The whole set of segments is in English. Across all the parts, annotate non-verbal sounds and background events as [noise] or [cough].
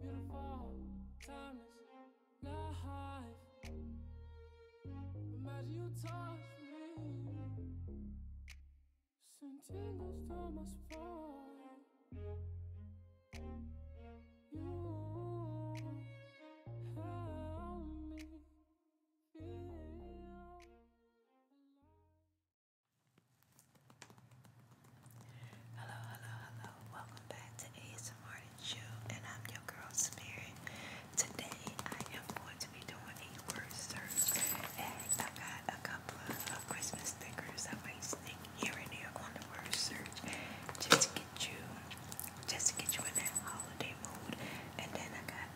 Beautiful, timeless, life. Imagine you touch me. Send tingles down You help me feel alive. Hello, hello, hello. Welcome back to ASMR and Chill, and I'm your girl Spirit. Today I am going to be doing a word search, and I got a couple of uh, Christmas stickers I might stick here and there on the word search, just to get you, just to get you in that holiday mood. And then I got.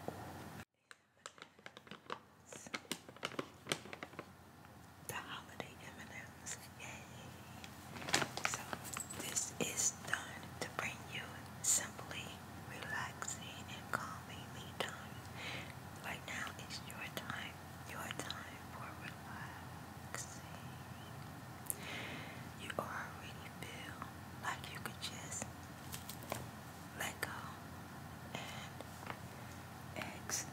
The holiday M&M items. Yay! So this is done to bring you simply relaxing and calmingly done. Right now is your time. Your time for relaxing. You already feel like you could just let go and exhale.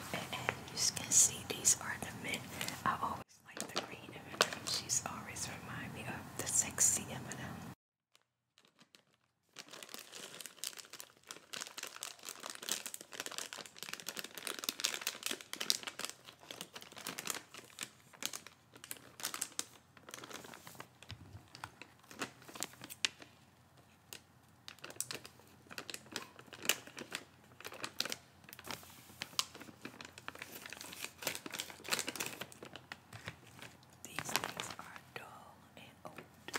And you can see, these are the mint. I like the green She's always remind me of the sexy Eminem. These things are dull and old.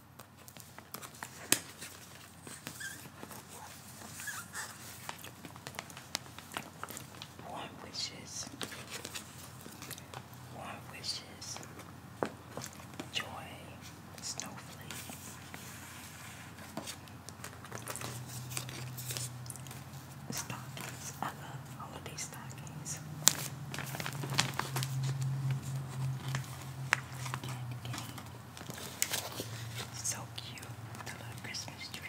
Warm wishes, warm wishes, joy, snowflake. Stockings, I love holiday stockings. Candy cane, so cute, little Christmas tree.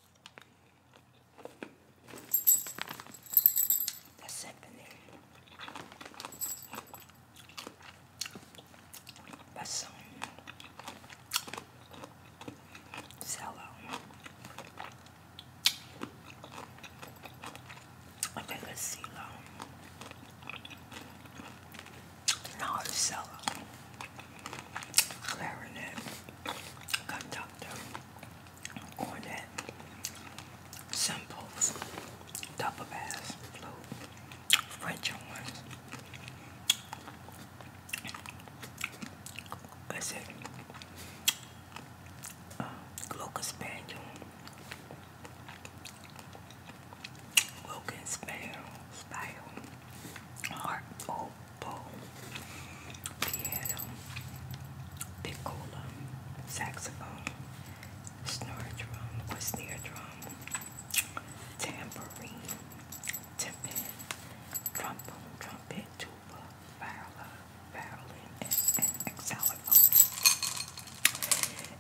That's happening. Passão. Salão. Até que silão. Não, salão. Clarinet. Conductor on that Simples double bass float French ones. I said uh, Spaniel, Wilkins Spaniel, Style, Heart, Old oh, Bowl, piano, piccolo, saxophone, snare drum or drum, tambourine, timpani, trombone, trumpet, tuba, viola, violin, and, xylophone.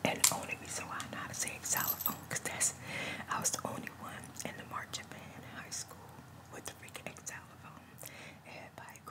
And the only reason why I know how to say xylophone because that's I was the only one in the marching band in high school with the freaking xylophone.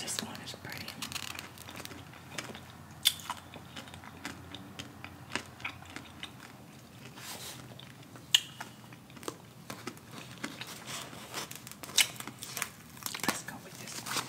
This one is pretty. Let's go with this one.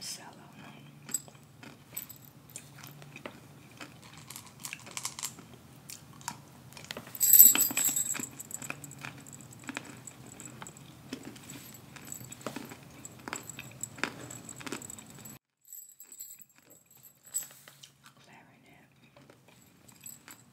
Sallow. Clarinet.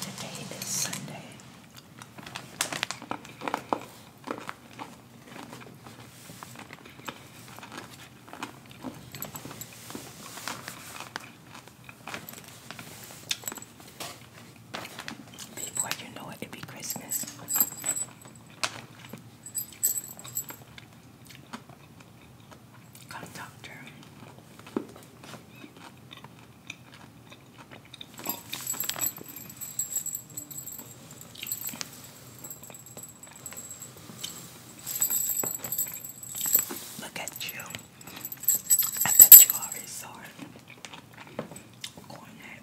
Today is Sunday. Before you know it, it'd be Christmas conductor. Look at you. I bet you already saw it. Cornet.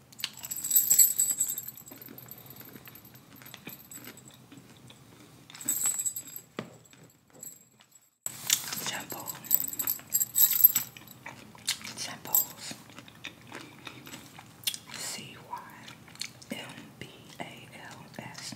Jumbo Jumbos C Y M B A L S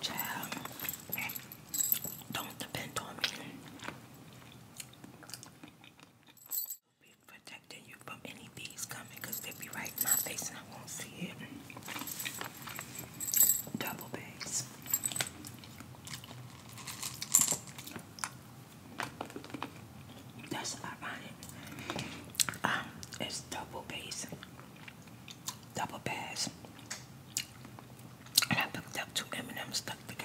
Child, don't depend on me. Be protecting you from any bees coming they'll be right in my face and I won't see it. Double bags. That's ironic. Um, it's double bass double bags. And I picked up two M&M's stuck together.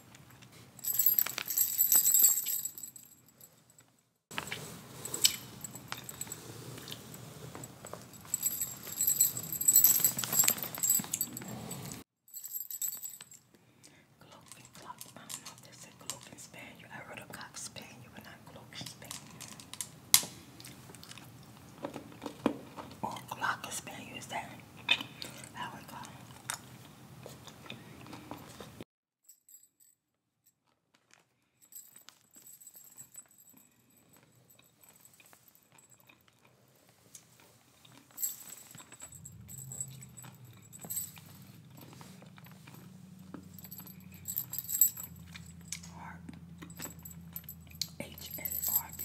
Cloak and clock. I don't know if they I wrote a cock spaniel, but not cloak and is that how I call Heart. H A R B.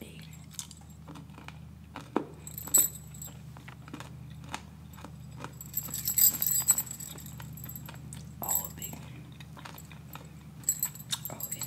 E. All of it. All of it.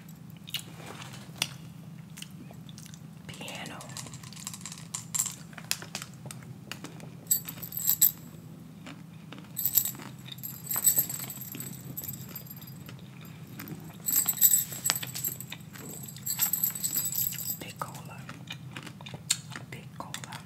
Piano. Piccola. Piccola.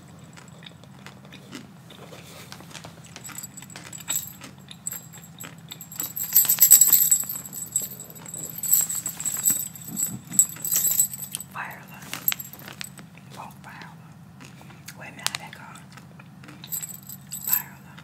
Fire alarm. will Wait a minute, how that gone? I don't know.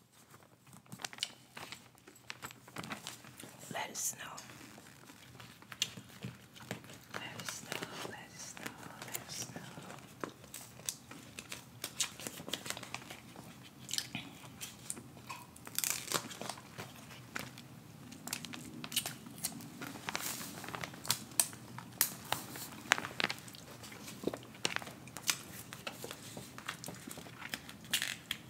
Let us know. Let us know, let us know, let us know.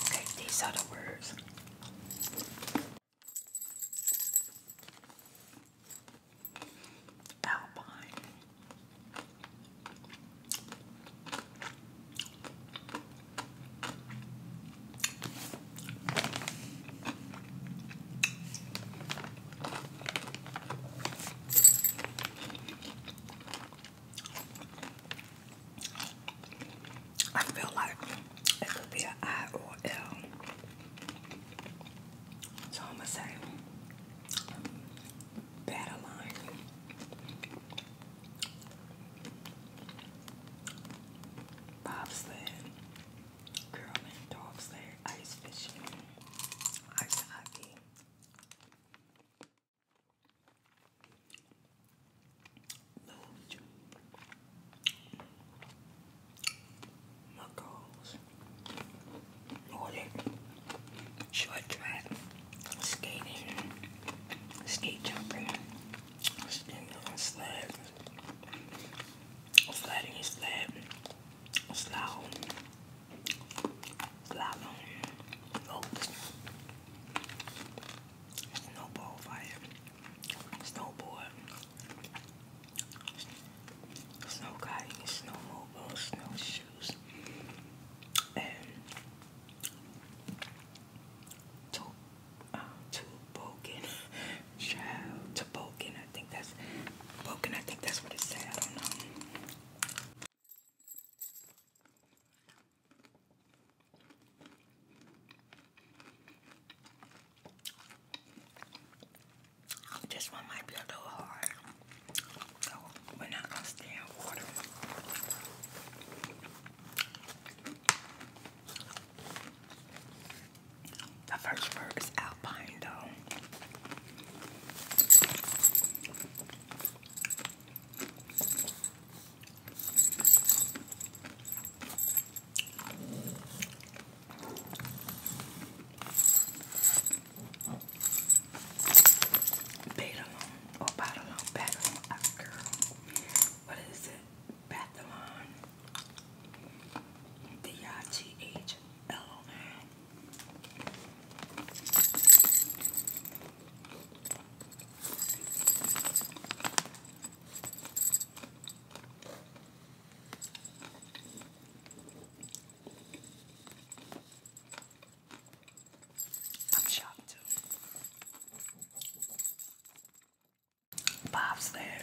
Okay, these are the words Alpine. I feel like it could be an I or L. So I'm gonna say battle line. Bobsled, curling, dog sled, ice fishing, ice hockey. Luge. McCall's, Nordic, short track, skating, skate jumping, standing on slab, sliding his slab, slalom, slalom, ropes, snowball fire, snowboard, snow gliding, snowmobile, snowshoes, and to, uh, toboggan, [laughs] child, toboggan. I think that's toboggan. I think that's what it said. I don't know. This one might be a little hard. So we're not gonna stand water. The first word is alpine though. Badalon or Badalon, Badalon, oh ah, girl, what is it? Bathalon, D-I-T-H-L-O-N. I'm shocked too. Bob's there.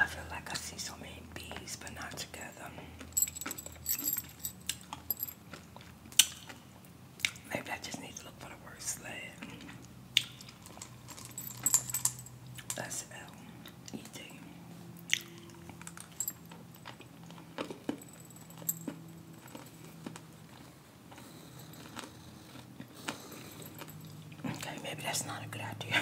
I feel like I see so many bees, but not together. Maybe I just need to look for the word sled. That's L E D. Okay, maybe that's not a good idea.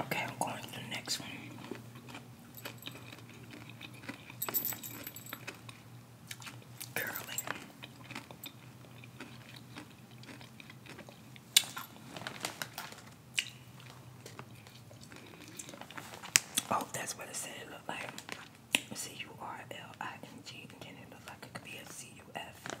Okay, I'm going to the next one curling. Oh, that's what it said it looked like. C U R L I N G, then it looked like it could be a C U F. Curly.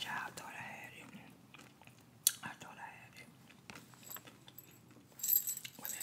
Yeah, I thought I had it. I thought I had it. What did I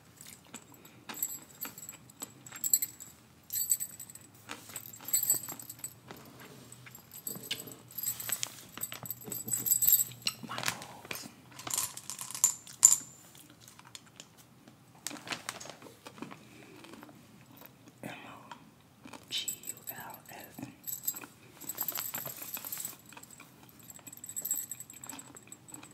My rolls. M O G U L S.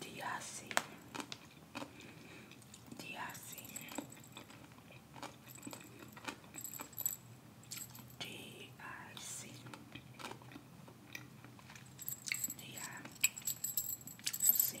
Do y'all see? Do y'all see? Do I see? Do y'all see?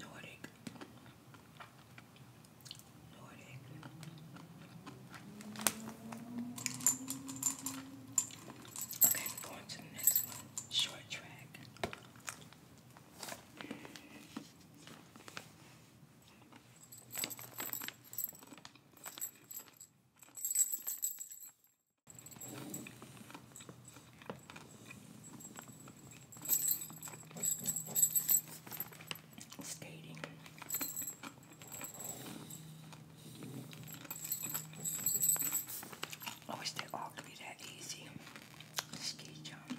Nordic. Nordic. Okay, we're the next one. Short track. Skating. I wish that all could be that easy. Ski jump.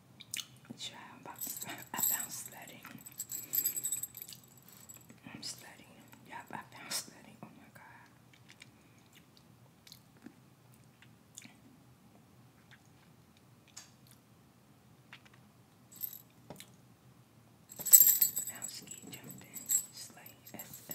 [laughs] I am studying. Yep, I found sledding. Oh my god. Now ski jumping, sleigh SL.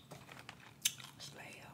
Slail,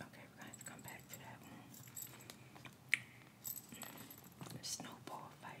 Okay, we come back to that one. The snowball fight.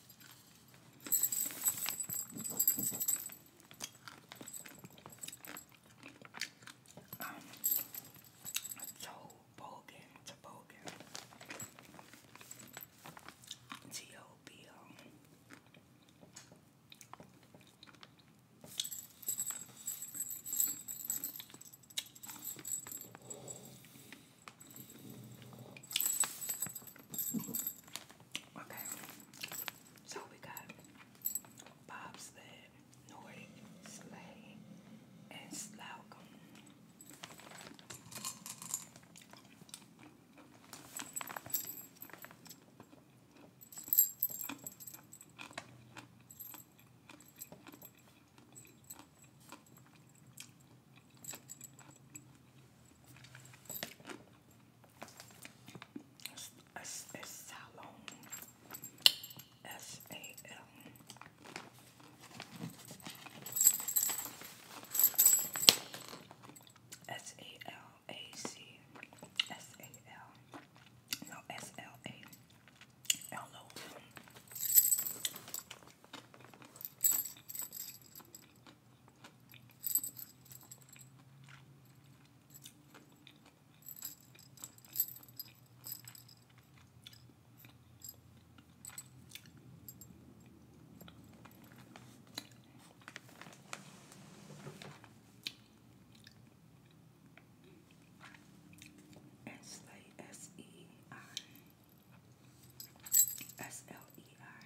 Um, Toboggan, Toboggan, T-O-B-O. Okay, so we got bobsled, Nordic sleigh, and Slocum. It's, it's Salon. S A L. S A L A C. S A L. No, S L A L O and slay S L E I.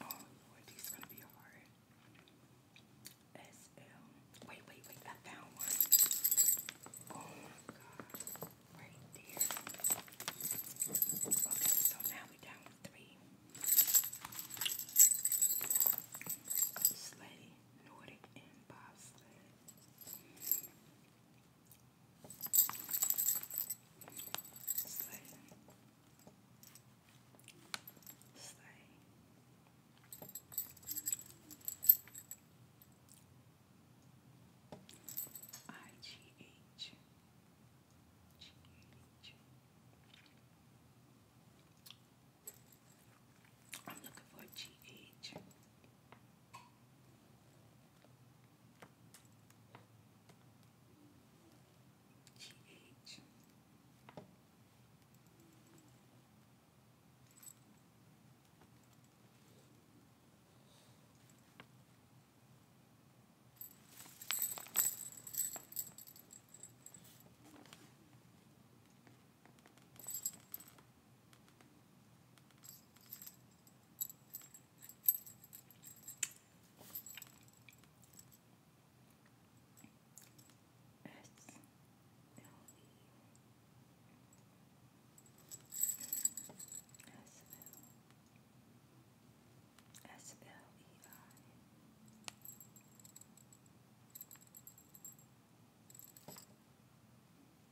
Oh Lord, these are gonna be hard. S L. Wait, wait, wait! I found one. Oh my God! Right there. Okay, so now we're down to three. Slay, Nordic, and bobsled. Slay. Slay. I G H G H I'm looking for GH. S-L-E-I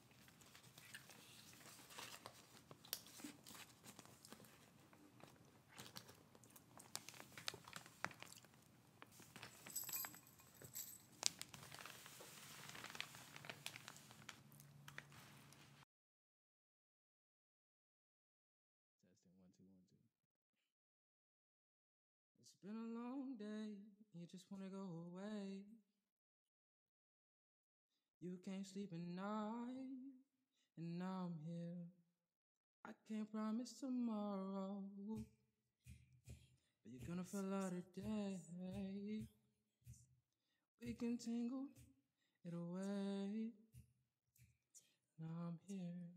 Testing one two one two. It's been a long day, you just wanna go away. You can't sleep at night, and now I'm here. I can't promise tomorrow, but you're gonna feel out today. We can tingle it away. Now I'm here.